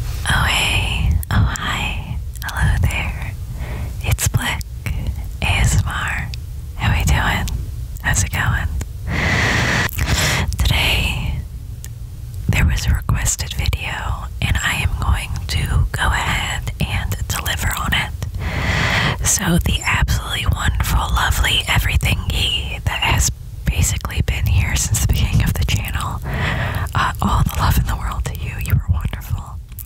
Oh hey, oh hi, hello there. It's Blick ASMR. How we doing? How's it going? Today there was a requested video and I am going to go ahead and deliver on it. So the absolutely wonderful, lovely everything that has basically been here since the beginning of the channel. Uh, all the love in the world to you. You were wonderful.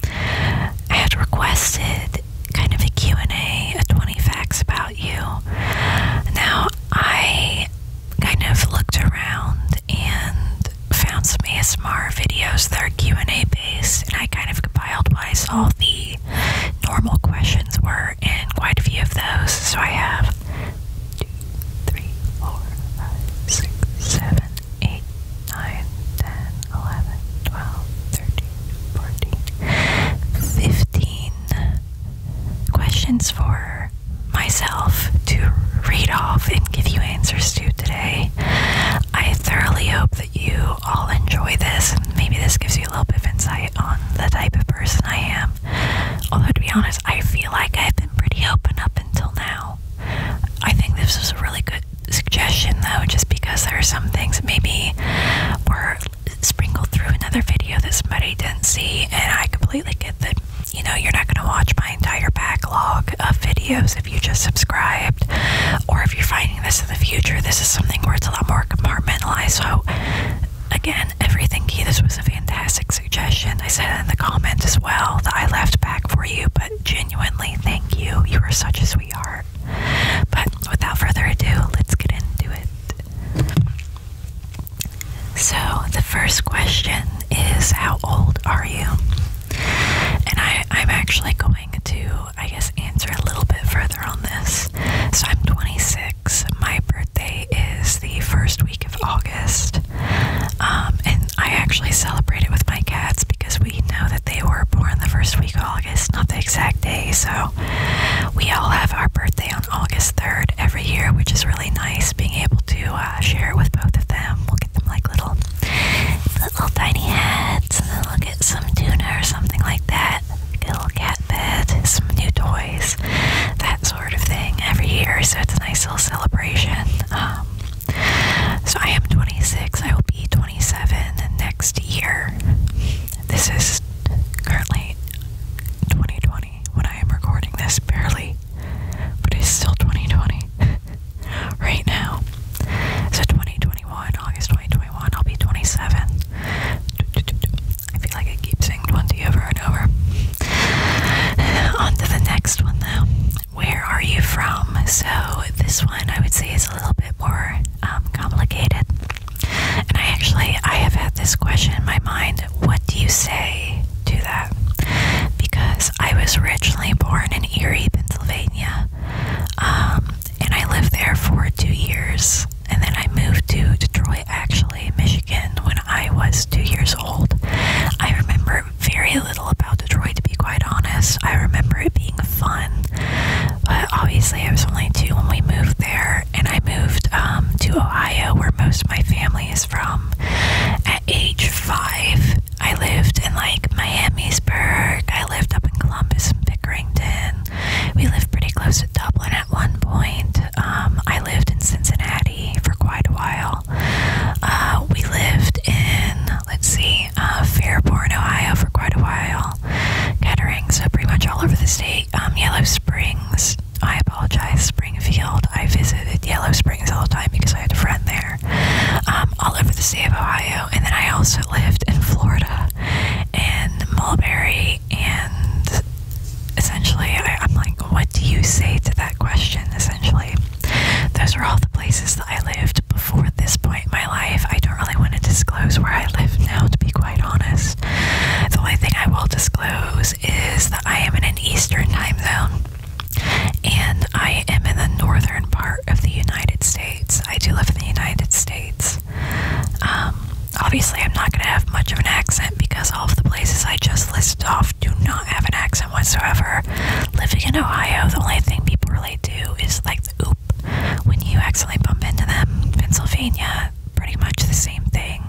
I had requested kind of a Q&A, a 20 facts about you. Now, I kind of looked around and found some ASMR videos that are Q&A based, and I kind of compiled what I saw the normal questions were, in quite a few of those. So I have three, four, five, six, seven, eight, nine, ten, eleven, twelve, thirteen, fourteen, fifteen questions for myself to read off and give you answers to today. I thoroughly hope that you all enjoy this. Maybe this gives you a little bit of insight on the type of person I am Although, to be honest, I feel like I've been pretty open up until now. I think this was a really good suggestion, though, just because there are some things maybe were sprinkled through another video that somebody didn't see, and I completely get that. You know, you're not going to watch my entire backlog of videos if you just subscribed, or if you're finding this in the future. This is something where it's a lot more compartmentalized. So, again, everything This was a fantastic suggestion. I said in the comments as well that I left back for you, but genuinely thank you. You are such a sweetheart. But without further ado, let's get into it. So, the first question is How old are you? And I'm actually going to, I guess, answer a little bit further on this. So, I'm 26. My birthday is the first week of August, um, and I actually celebrate it with my cats because we know that they were born the first week of August, not the exact day. So we all have our birthday on August 3rd every year, which is really nice being able to uh, share with both of them. We'll get them like little, little tiny heads, and then we'll get some tuna or something like that. Get will get cat bed, some new toys, that sort of thing every year, so it's a nice little celebration. Um, so I am 26, I will be 27 next year. This is currently 2020 when I am recording this, barely, but it's still 2020 right now. So 2021, August 2021, I'll be 27. I feel like I keep saying 20 over and over. On to the next one, though. Where are you from? So, this one I would say is a little bit more um, complicated. And I actually, I have had this question in my mind what do you say to that? Because I was originally born in Erie, Pennsylvania. Um, and I lived there for two years. And then I moved to Detroit actually, Michigan, when I was two years old. I remember very little about Detroit, to be quite honest. I remember it being fun, but obviously, I was only two when we moved there, and I moved um, to Ohio, where most of my family is from, at age five. I lived in like Miamisburg. I lived up in Columbus and Pickerington. We lived pretty close to Dublin at one point. Um, I lived in Cincinnati for quite a while. Uh, we lived in, let's see, uh, Fairborn, Ohio for quite a while. Kettering, so pretty much all over the state. Um, Yellow Springs, I apologize, Springfield. I visited Yellow Springs all the time because I had a friend there. Um, all over the state of Ohio. And then I also lived in Florida, in Mulberry, and essentially I, am like what do you say to that question essentially those are all the places that i lived before this point in my life i don't really want to disclose where i live now to be quite honest the only thing i will disclose is that i am in an eastern time zone and i am in the northern part of the united states i do live in the united states um, obviously, I'm not going to have much of an accent because all of the places I just listed off do not have an accent whatsoever. Living in Ohio, the only thing people relate to is like the oop when you accidentally bump into them. Pennsylvania, pretty much the same thing.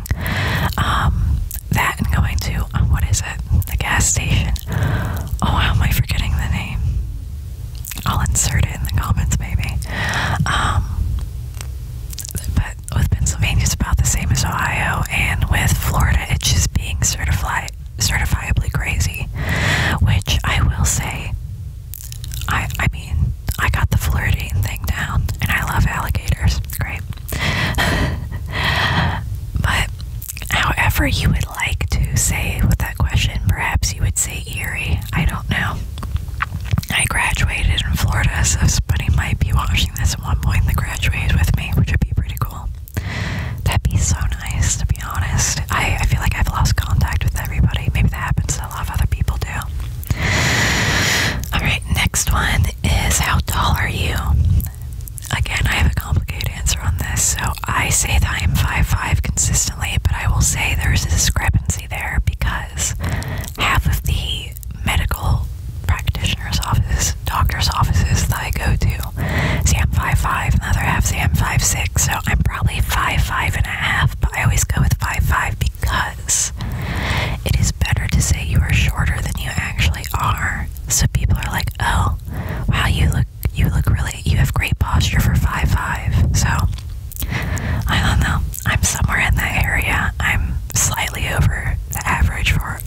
Um, that and going to, uh, what is it? The gas station. Oh, how am I forgetting the name? I'll insert it in the comments, maybe. Um, with Pennsylvania, it's about the same as Ohio, and with Florida, it's just being certifi certifiably crazy. Which I will say, I I mean, I got the flirting thing down, and I love alligators. Great, but however you would like to say with that question, perhaps you would say eerie. I don't know. I graduated in Florida, so somebody might be watching this at one point that graduated with me, which would be pretty cool. That'd be so nice, to be honest. I, I feel like I've lost contact with everybody. Maybe that happens to a lot of other people too. Alright, next one is how tall are you? Again, I have a complicated answer on this. So I say that I am 5'5 consistently, but I will say there's a discrepancy there because half of the medical practitioner's offices, doctor's offices that I go to. See, I'm 5'5, another half, see, I'm so I'm probably 5'5 and a half, but I always go with five five because it is better to say you are shorter than you actually are. So people are like, oh, wow, you look, you look really, you have great posture for five 5'5. So, I don't know. I'm somewhere in that area. I'm slightly over the average for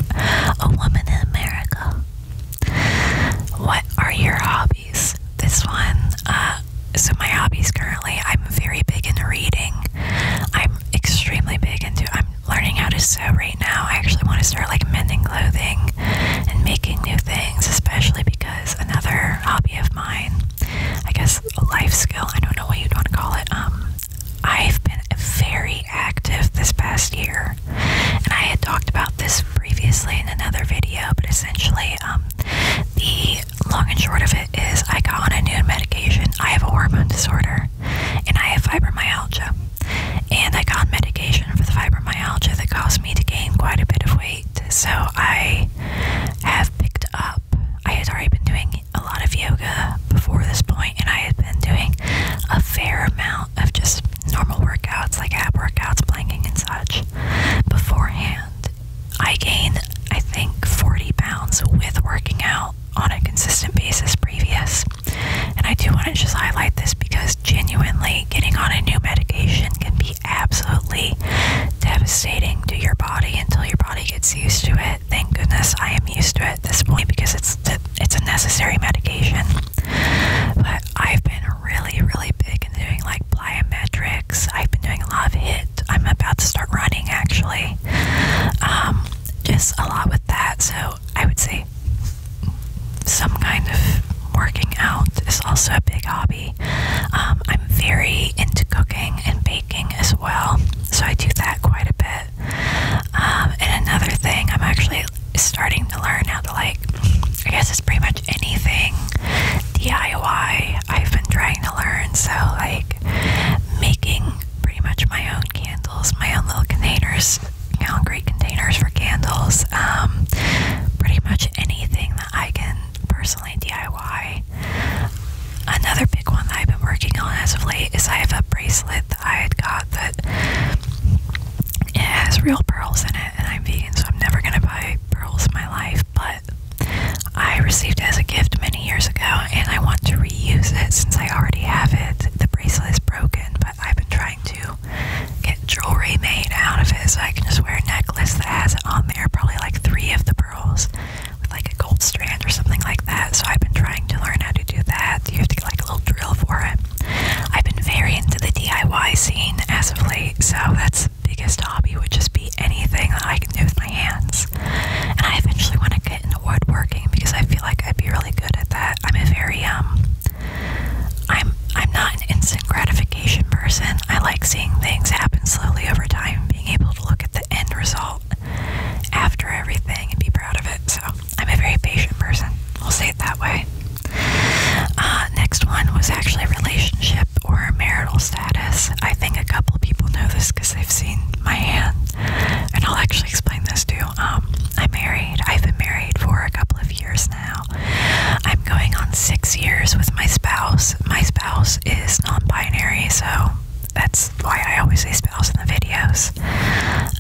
a woman in America. What are your hobbies? This one, uh, so my hobbies currently, I'm very big into reading. I'm extremely big into, I'm learning how to sew right now. I actually want to start like mending clothing and making new things, especially because another hobby of mine, I guess a life skill, I don't know what you'd want to call it, um, I've been very active this past year, and I had talked about this previously in another video, but essentially, um, the long and short of it is I got on a new medication. I have a hormone disorder, and I have fibromyalgia, and I got medication for the fibromyalgia that caused me to gain quite a bit of weight. So I have picked up. I had already been doing a lot of yoga before this point, and I had been doing a fair amount of just normal workouts like ab workouts, planking, and such beforehand. I gained, I think, 40 pounds with working out on a consistent basis previous. And I do want to just highlight this because genuinely getting on a new medication can be absolutely devastating to your body until your body gets used to it. Thank goodness I am used to it at this point because it's it's a necessary medication. But I've been really, really big in doing like plyometrics. I've been doing a lot of hit. I'm about to start running actually. Um, just a lot with that. So I would say some kind of working out is also a big hobby. Um, I'm very into cooking and baking as well. So I do that quite a bit. Um, and another thing, I'm actually starting to learn how to like, I guess it's pretty much anything DIY I've been trying to learn. So, like, making pretty much my own candles, my own little containers, my own great containers for candles, um, pretty much anything that I can. DIY. Another big one that I've been working on as of late is I have a bracelet that I had got that it has real pearls in it, and I'm vegan, so I'm never gonna buy pearls in my life. But I received it as a gift many years ago, and I want to reuse it since I already have it. The bracelet is broken, but I've been trying to get jewelry made out of it so I can just wear a necklace that has it on there, probably like three of the pearls with like a gold strand or something like that. So I've been trying to learn how to do that. You have to get like a little drill for it. I've been very into the DIY scene as of late, so that's biggest hobby would just be anything that I can do with my hands. And I eventually want to get into woodworking because I feel like I'd be really good at that. I'm a very um I'm I'm not an instant gratification person. I like seeing things happen slowly over time, being able to look at the end result after everything and be proud of it. So I'm a very patient person. We'll say it that way. Uh, next one was actually relationship or marital status. I think a couple people know this because they've seen my hand, and I'll actually explain this too. Um, I'm married. I've been married for a couple of years now. I'm going on six years with my spouse. My spouse is non-binary, so that's why I always say spouse in the videos.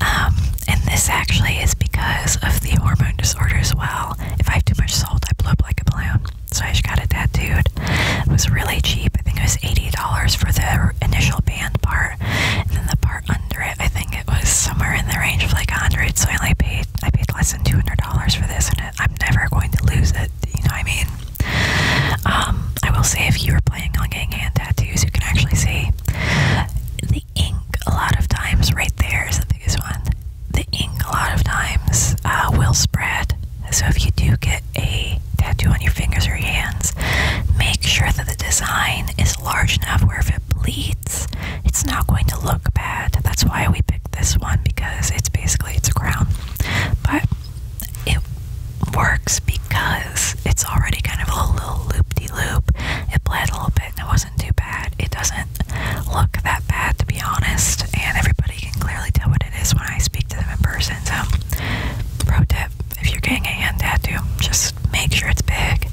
Um, and this actually is because of the hormone disorder as well. If I have too much salt, I blow up like a balloon. So I just got a tattooed. It was really cheap. I think it was $80 for the initial band part. And then the part under it, I think it was somewhere in the range of like 100 So I only paid, I paid less than $200 for this. And I'm never going to lose it. You know I mean? Um, I will say if you are playing on getting hand tattoos, you can actually see the ink a lot of times right there is the biggest one. The ink a lot of times uh, will spread. So if you do get a tattoo on your fingers or hands, make sure that the design is large enough where if it bleeds, it's not going to look bad. That's why we picked this one because it's basically it's a crown. But it works because it's already kind of a little loop de loop. It bled a little bit and it wasn't too bad. It doesn't look that bad to be honest, and everybody can clearly tell what it is when I speak to them in person. So, pro tip if you're getting a hand tattoo, just make sure it's big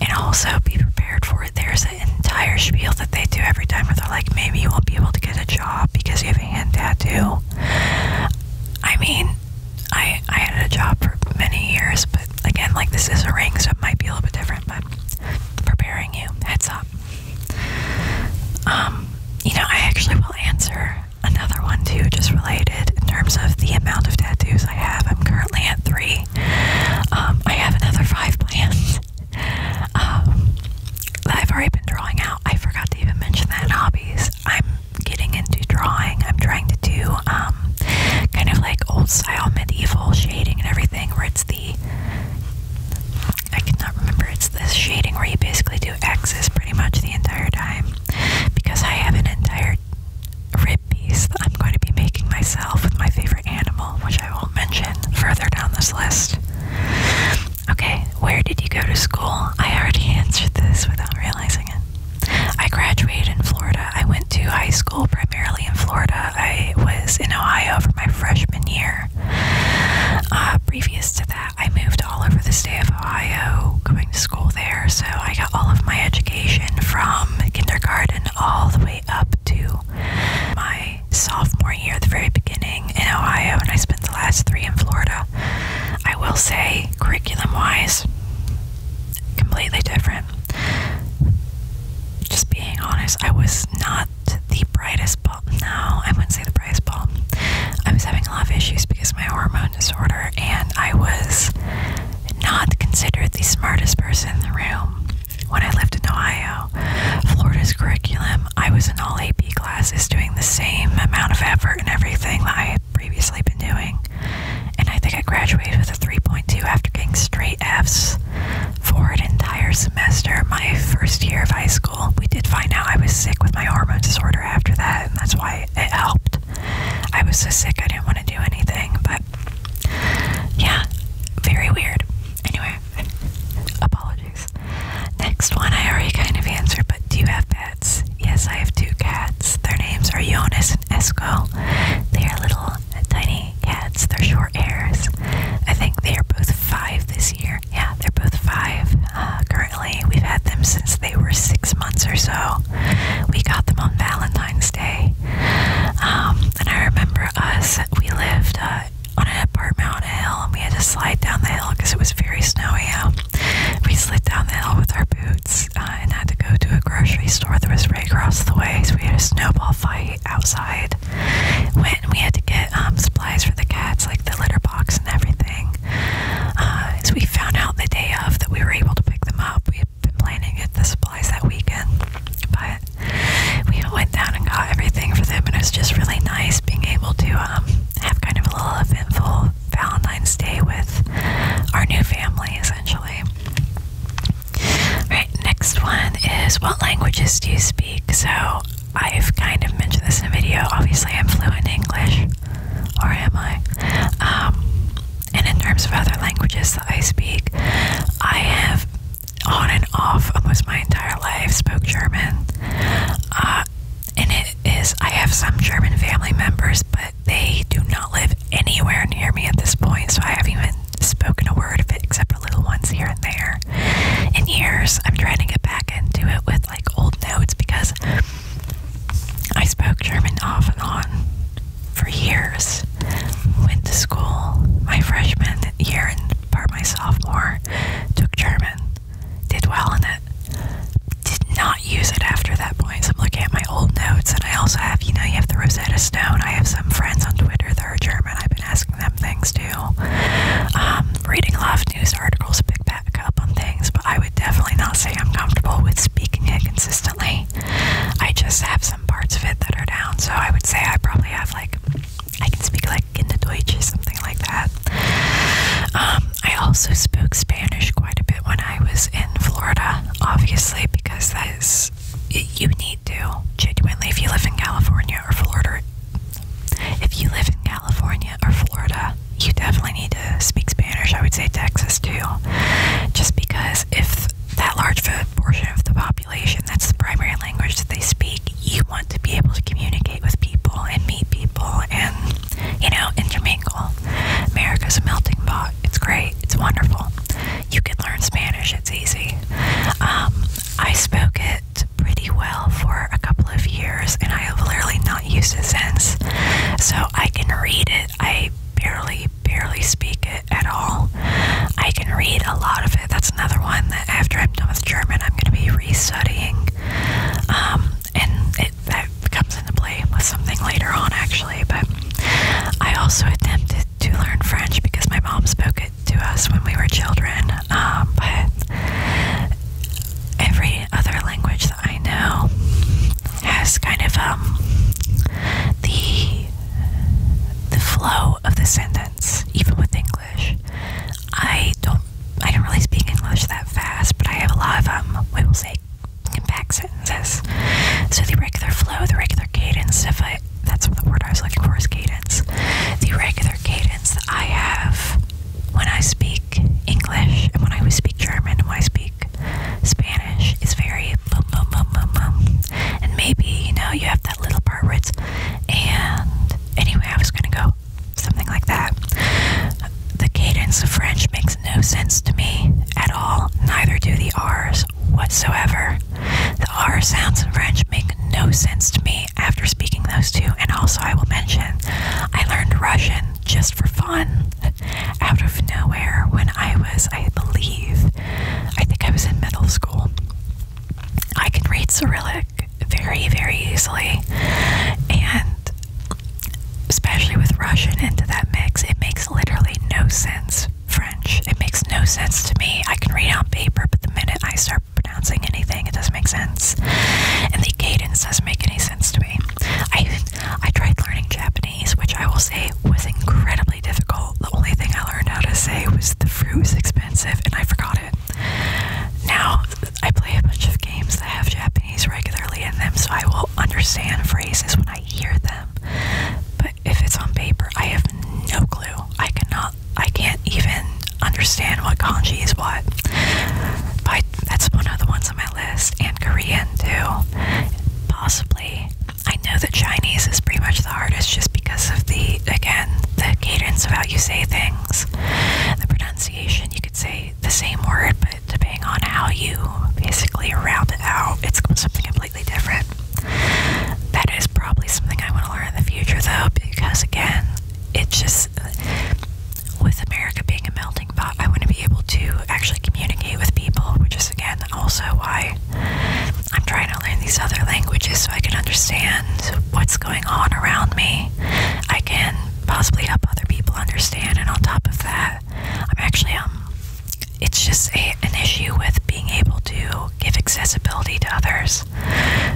and also be prepared for it. There's an entire spiel that they do every time where they're like, maybe you won't be able to get a job because you have hand tattoo. I mean, I I had a job for many years, but again, like this is a ring, so it might be a little bit different. But preparing you, heads up. Um, you know, I actually will answer another one too, just related in terms of the amount of tattoos I have. I'm currently at three. Um, I have another five plans. Um, I've already been drawing out. I forgot to even mention that hobbies. I'm getting into drawing. I'm trying to do um, kind of like old style medieval shading and everything, where it's the I cannot remember. It's this shading where you basically do X's pretty much the entire time because I have an entire rib piece that I'm going to be making myself with my favorite animal, which I won't mention further down this list. Okay, where did you go to school? I already answered this without realizing it. I graduated in Florida. I went to high school primarily in Florida. I was in Ohio for my freshman year. Uh, previous to that, I moved all over the state of Ohio going to school there, so I got all of my education from kindergarten all the way up to my sophomore year at the very beginning in Ohio, and I spent the last three in Florida. I will say, curriculum wise, completely different. Just being honest, I was not the brightest bulb. No, I wouldn't say the brightest bulb. I was having a lot of issues because of my hormone disorder, and I was not considered the smartest person in the room when I lived in Ohio. Florida's curriculum um, I was in all AP classes doing the same amount of effort and everything that I had previously been doing. And I think I graduated with a 3.2 after getting straight Fs for an entire semester. My first year of high school, we did find out I was sick with my hormone disorder after that, and that's why it helped. I was so sick I didn't want to do anything, but yeah, very weird. Anyway, apologies. Next one, I already kind of answered, but do you have pets? Yes, I have two cats. Their names are Jonas and Esco. They are little, tiny cats. They're short hairs. I think they are both five this year. Yeah, they're both five uh, currently. We've had them since they were six months or so. We got them on Valentine's Day. Um, and I remember us, we lived uh, on an part mountain hill and we had to slide down the hill because it was very snowy out. We slid down the hill with our boots uh, and had to go to a grocery store that was right across the way. So we had a snowball fight outside. When we had to get um, supplies for the cats, like the litter box and everything. Uh, so we found out the day of that we were able to pick them up. We had been planning to get the supplies that weekend, but we went down and got everything for them, and it was just really nice being able to um, have kind of a little eventful Valentine's Day with our new family, essentially. Right, next one is what languages do you speak? So I've kind of mentioned this in a video. Obviously, I'm fluent in English, or am I? Um, and in terms of other languages that I speak, I have on and off almost my entire life, spoke German. Uh, and it is, I have some German family members, but they do not live anywhere near me at this point, so I haven't even spoken a word of it except for little ones here and there. In years, I'm trying to get back into it with like old notes because I spoke German off and on for years. Went to school my freshman year and part my sophomore, took German, did well in it, did not use it after that point. I'm looking at my old notes, and I also have, you know, you have the Rosetta Stone. I have some friends on Twitter that are German. I've been asking them things too. Um, reading a lot of news articles, pick back up on things, but I would definitely not say I'm comfortable with speaking it consistently. I just have some parts of it that are down, so I would say I probably have like I can speak like Kinderdeutsch or something like that. Um, I also spoke Spanish quite a bit when I was in Florida, obviously, because that is you need to genuinely if you live in California or Florida. If you live in California or Florida, you definitely need to speak Spanish. I would say Texas too, just because if that large portion of the population that's the primary language that they speak, you want to be able to communicate with people and meet people and, you know, intermingle. America's a melting pot. It's great. It's wonderful. You can learn Spanish. It's easy. Um, I spoke it pretty well for a couple of years, and I have literally not used it since. So I can read it. I barely, barely speak it at all. I can read a lot of it. That's another one after I'm done with German, I'm going to be restudying, um, and that comes into play with something later on, actually. But I also attempted to learn French because my mom spoke it to us when we were children. Um, but every other language that I know has kind of um, the the flow of the sentence, even with English. I don't I don't really speak English that fast, but I have a lot of um we will say compact sentences. So the regular flow, the regular cadence, if I that's the word I was looking for is cadence. The regular cadence that I have when I speak English and when I speak German and when I speak Spanish is very boom boom boom boom boom. And maybe, you know, you have little part and anyway, I was gonna go something like that. The cadence of French makes no sense to me at all, neither do the R's whatsoever. The R sounds in French make no sense to me after speaking those two, and also I will mention I learned Russian just for fun out of nowhere when I was, I believe, I think I was in middle school. I can read Cyrillic very, very easily, and especially with Russian into that mix, it makes literally no sense. French, it makes no sense to me. I can read on paper, but the minute I start pronouncing anything, it doesn't make sense, and the cadence doesn't make any sense to me. I I tried learning Japanese, which I will say was incredibly difficult. The only thing I learned how to say was the fruit was expensive and I forgot it. Now I play a bunch of games that have Japanese regularly in them, so I will understand phrases when I hear them. But if it's on paper, I have no clue. I cannot, I can't even understand what kanji is what. But that's one of the ones on my list, and Korean too. Possibly. I know that Chinese is pretty much the hardest just because of the again the cadence of how you say things, the pronunciation. You could say the same word, but depending on how you basically round it out, it's something completely different. That is probably something I want to learn in the future, though, because again, it's just with America being a melting pot, I want to be able to actually communicate with people, which is again also why I'm trying to learn these other languages so I can understand what's going on around me. I can possibly help other people understand, and on top of that, I'm actually um, it's just a, an issue with being able to give accessibility to others.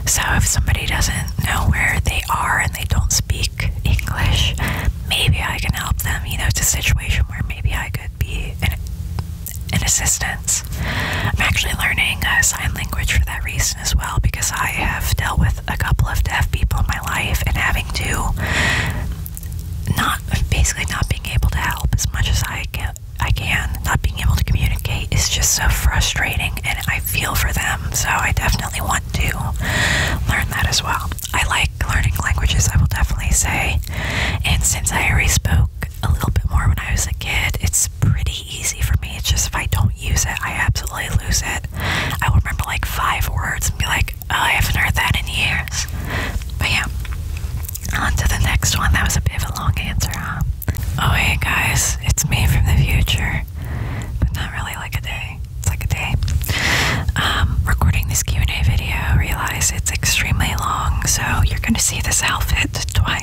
So if somebody doesn't know where they are and they don't speak English, maybe I can help them. You know, it's a situation where maybe I could be and assistance. I'm actually learning uh, sign language for that reason as well because I have dealt with a couple of deaf people in my life and having to not basically not being able to help as much as I can not being able to communicate is just so frustrating, and I feel for them. So I definitely want to learn that as well. I like learning languages. I will definitely say, and since I already spoke a little bit more when I was a kid. It's pretty easy for me. It's just if I don't use it, I absolutely lose it. I will remember like five words and be like, oh, I haven't heard that in years. But yeah, on to the next one. That was a bit of a long answer, huh? Oh, hey guys, it's me from the future, but not really like a day. It's like a day. Um, recording this Q&A video, realize it's extremely long, so you're gonna see this outfit twice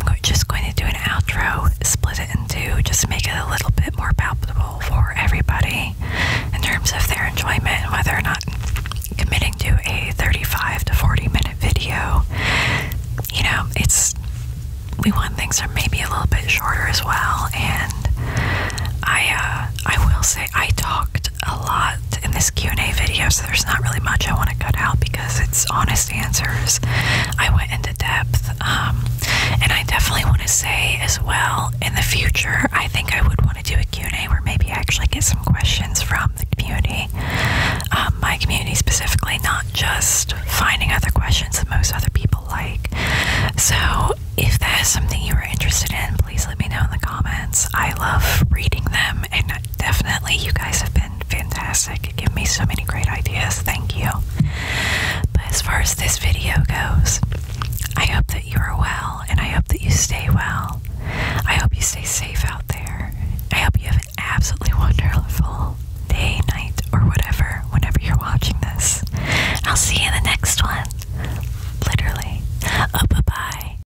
I'm just going to do an outro, split it in two, just make it a little bit more palpable for everybody in terms of their enjoyment, whether or not committing to a 35 to 40 minute video. You know, it's we want things are maybe a little bit shorter as well. And I, uh, I will say I talked a lot in this Q&A video, so there's not really much I want to cut out because it's honest answers. I went into depth, um, and I definitely want to say as well, in the future, I think I would want to do a Q&A where maybe I actually get some questions from the community, um, my community specifically, not just finding other questions that most other people like. So if that is something you are interested in, please let me know in the comments. I love reading them, and definitely. You guys have been fantastic. Give me so many great ideas. Thank you. But as far as this video goes, I hope that you are well and I hope that you stay well. I hope you stay safe out there. I hope you have an absolutely wonderful day, night, or whatever, whenever you're watching this. I'll see you in the next one. Literally. Oh, bye bye.